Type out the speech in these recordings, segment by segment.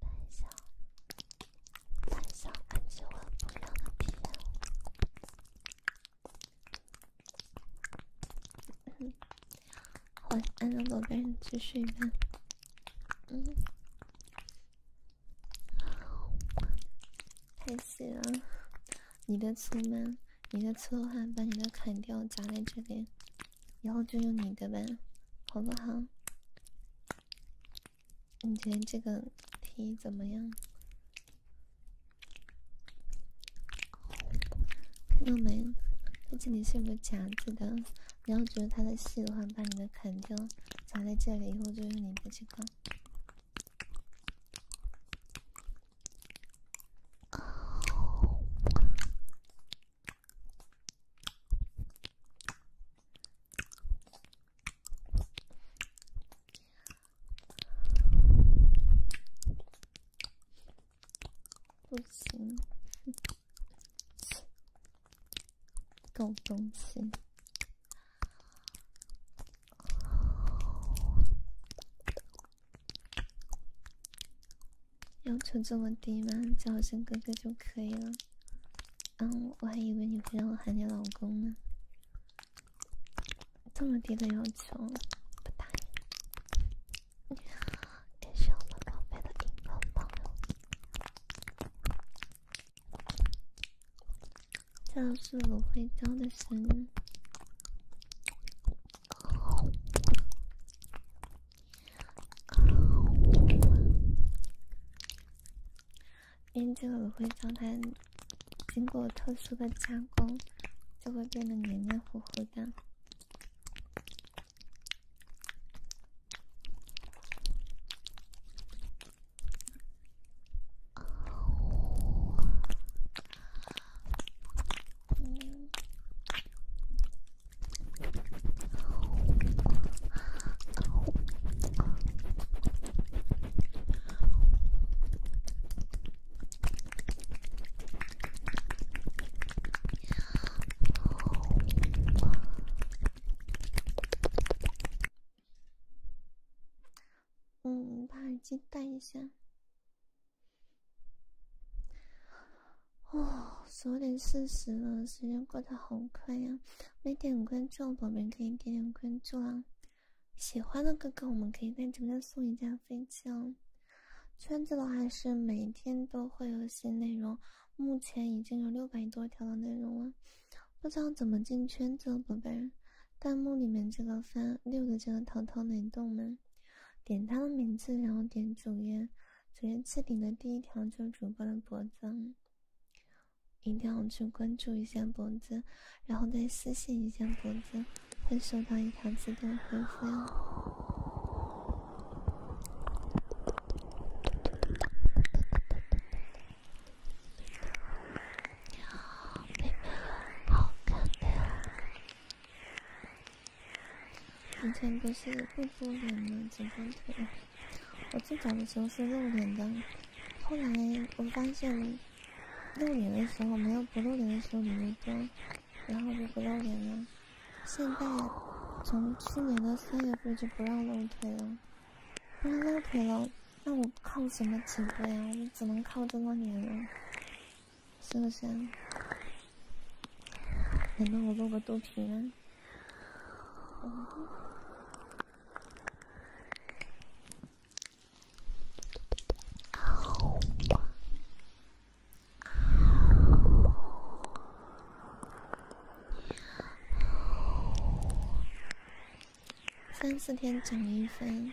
胆小，小，我不晚安，宝贝，你去睡吧。嗯，太行了，你的出门。你的刺的话，把你的砍掉，砸在这里，以后就用你的吧，好不好？你觉得这个题怎么样？看到没？它这里是有夹子的。你要觉得它的细的话，把你的砍掉，砸在这里，以后就用你的这个。不行，狗东西。要求这么低吗？叫我声哥哥就可以了。嗯，我还以为你会让我喊你老公呢。这么低的要求，不答应。给我们宝贝的乒乓这是芦荟胶的音。棉籽油会将它经过特殊的加工，就会变得黏黏糊糊的。嗯，把耳机戴一下。哦，十点四十了，时间过得好快呀！没点关注，的宝贝可以点点关注啊！喜欢的哥哥，我们可以在直播间送一架飞机哦。圈子的话是每天都会有些内容，目前已经有六百多条的内容了。不知道怎么进圈子，宝贝？弹幕里面这个翻六的这个淘淘能动吗？点他的名字，然后点主页，主页置顶的第一条就是主播的脖子，一定要去关注一下脖子，然后再私信一下脖子，会收到一条自动回复。你好，好以前不是不敷脸的只露腿，我最早的时候是露脸的，后来我发现露脸的时候没有不露脸的时候你们装，然后就不露脸了。现在从去年的三月份就不让露腿了，不让露腿了，那我靠什么起飞啊？我只能靠这装脸人。是不是？难道我露个肚皮吗？三四天涨一分。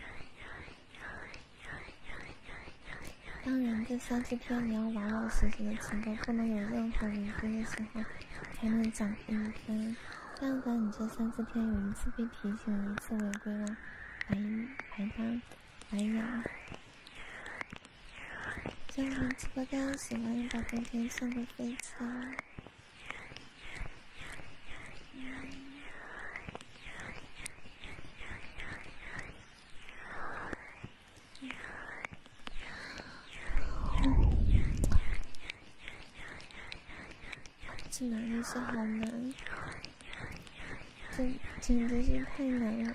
当然，这三四天你要玩老实点，成功不能有任何违规的时候才能涨一天。但凡你这三四天有一次被提醒，一次违规了，白、白当白养。就我直播间，喜欢一把飞天，送个飞彩。这哪里是好难？这简直是太难了！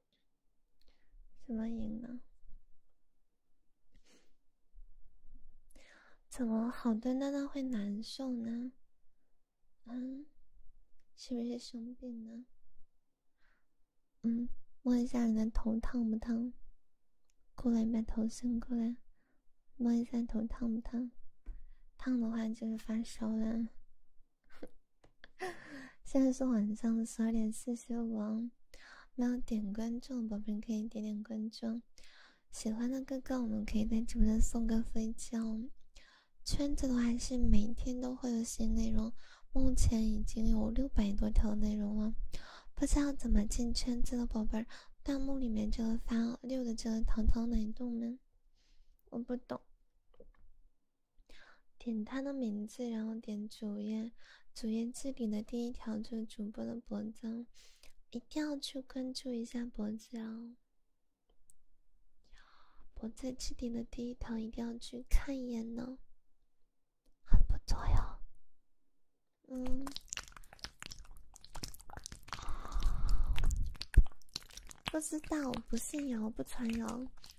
怎么赢呢？怎么好端端的会难受呢？嗯，是不是生病呢？嗯，摸一下你的头烫不烫？过来，把头伸过来，摸一下头烫不烫？烫的话就是发烧了。现在是晚上十二点四十五没有点关注的宝贝，可以点点关注。喜欢的哥哥，我们可以在直播间送个飞机哦。圈子的话是每天都会有新内容，目前已经有六百多条内容了。不知道怎么进圈子的宝贝，弹幕里面这个发六的这个糖糖奶冻呢？我不懂。点他的名字，然后点主页，主页置顶的第一条就是主播的脖子，一定要去关注一下脖子哦。脖子置顶的第一条一定要去看一眼呢，很不错哟。嗯，不知道，不信谣，不传谣。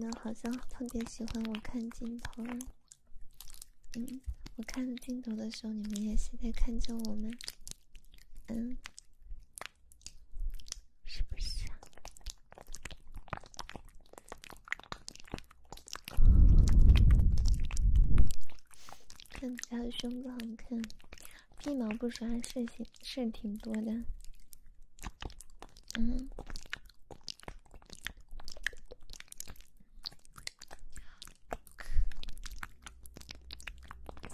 那好像特别喜欢我看镜头。嗯，我看镜头的时候，你们也是在看着我吗？嗯。是不是？看他的胸部好看，屁毛不刷是挺是挺多的。嗯。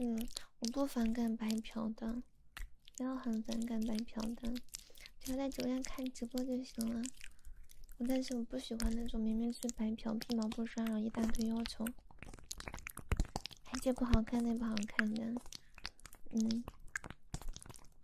嗯，我不反感白嫖的，不要很反感白嫖的，只要在直播间看直播就行了。但是我不喜欢那种明明是白嫖，屁毛不刷，然后一大堆要求，这不好看那不好看的，嗯。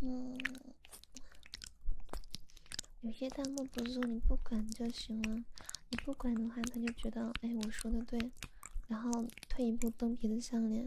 嗯，有些弹幕不是说你不管就行了，你不管的话，他就觉得哎，我说的对，然后退一步蹬鼻子上脸。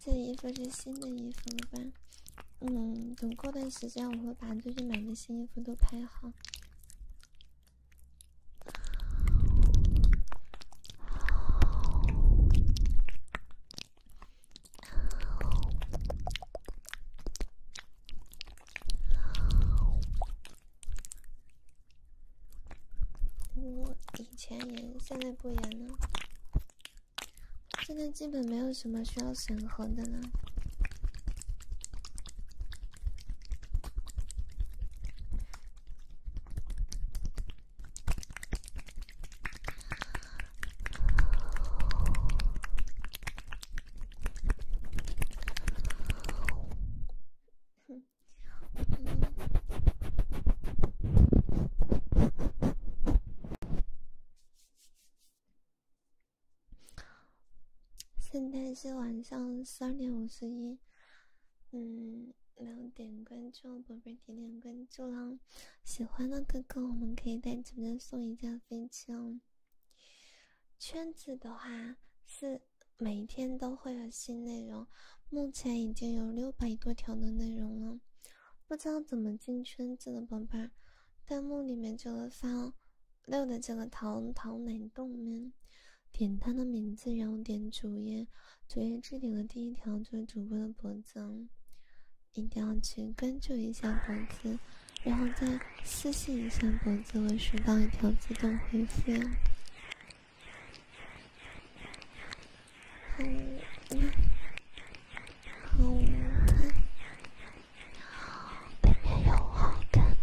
这衣服是新的衣服了吧？嗯，等过段时间我会把最近买的新衣服都拍好。我以前严，现在不严了。现在基本没有什么需要审核的了。现在是晚上十二点五十一。嗯，没有点关注，宝贝点点关注啦！喜欢的哥哥，我们可以在直播间送一架飞机哦。圈子的话是每天都会有新内容，目前已经有六百多条的内容了。不知道怎么进圈子的宝贝儿，弹幕里面就会发六的这个糖糖奶冻们，点他的名字，然后点主页。主页置顶的第一条就是主播的脖子，一定要去关注一下脖子，然后再私信一下脖子，会收到一条自动回复。好，好，好看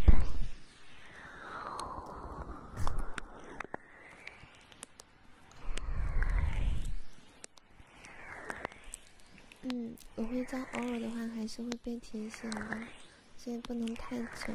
嗯，我会在偶尔的话还是会被提醒的，所以不能太久。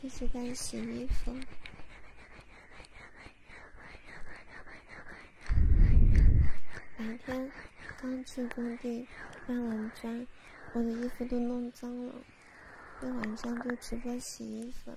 这是在洗衣服。白天刚去工地搬完砖，我的衣服都弄脏了。一晚上就直播洗衣服。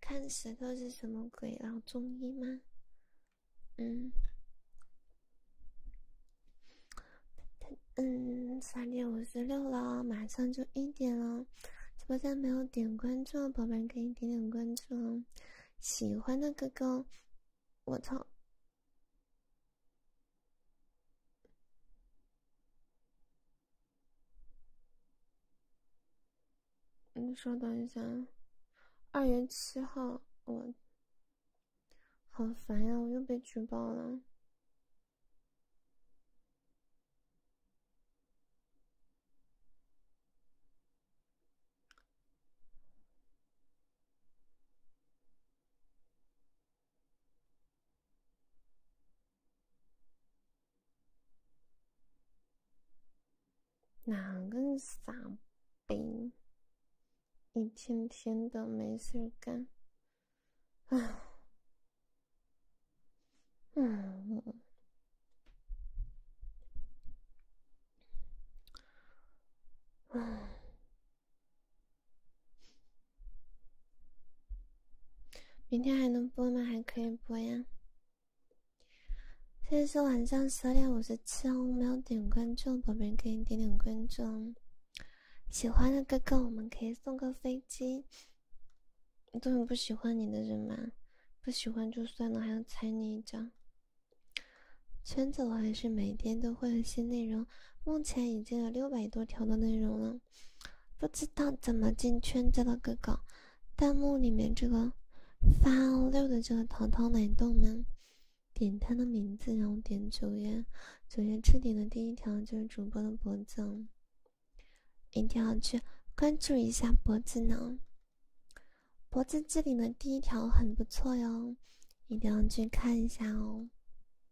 看舌头是什么鬼？老中医吗？嗯，嗯，三点五十六了，马上就一点了。直播间没有点关注的宝贝可以点点关注哦。喜欢的哥哥，我操！你稍等一下，二月七号，我好烦呀，我又被举报了。哪个傻逼？一天天的没事干，哎，嗯，嗯。明天还能播吗？还可以播呀。现在是晚上十点五十七，没有点关注的宝贝可以点点关注。喜欢的哥哥，我们可以送个飞机。都很不喜欢你的人嘛，不喜欢就算了，还要踩你一脚。圈子我还是每天都会有新内容。目前已经有六百多条的内容了，不知道怎么进圈子的哥哥，弹幕里面这个发六的这个淘淘奶冻们，点他的名字，然后点主页，主页置顶的第一条就是主播的脖子，一定要去关注一下脖子呢。脖子置顶的第一条很不错哟，一定要去看一下哦。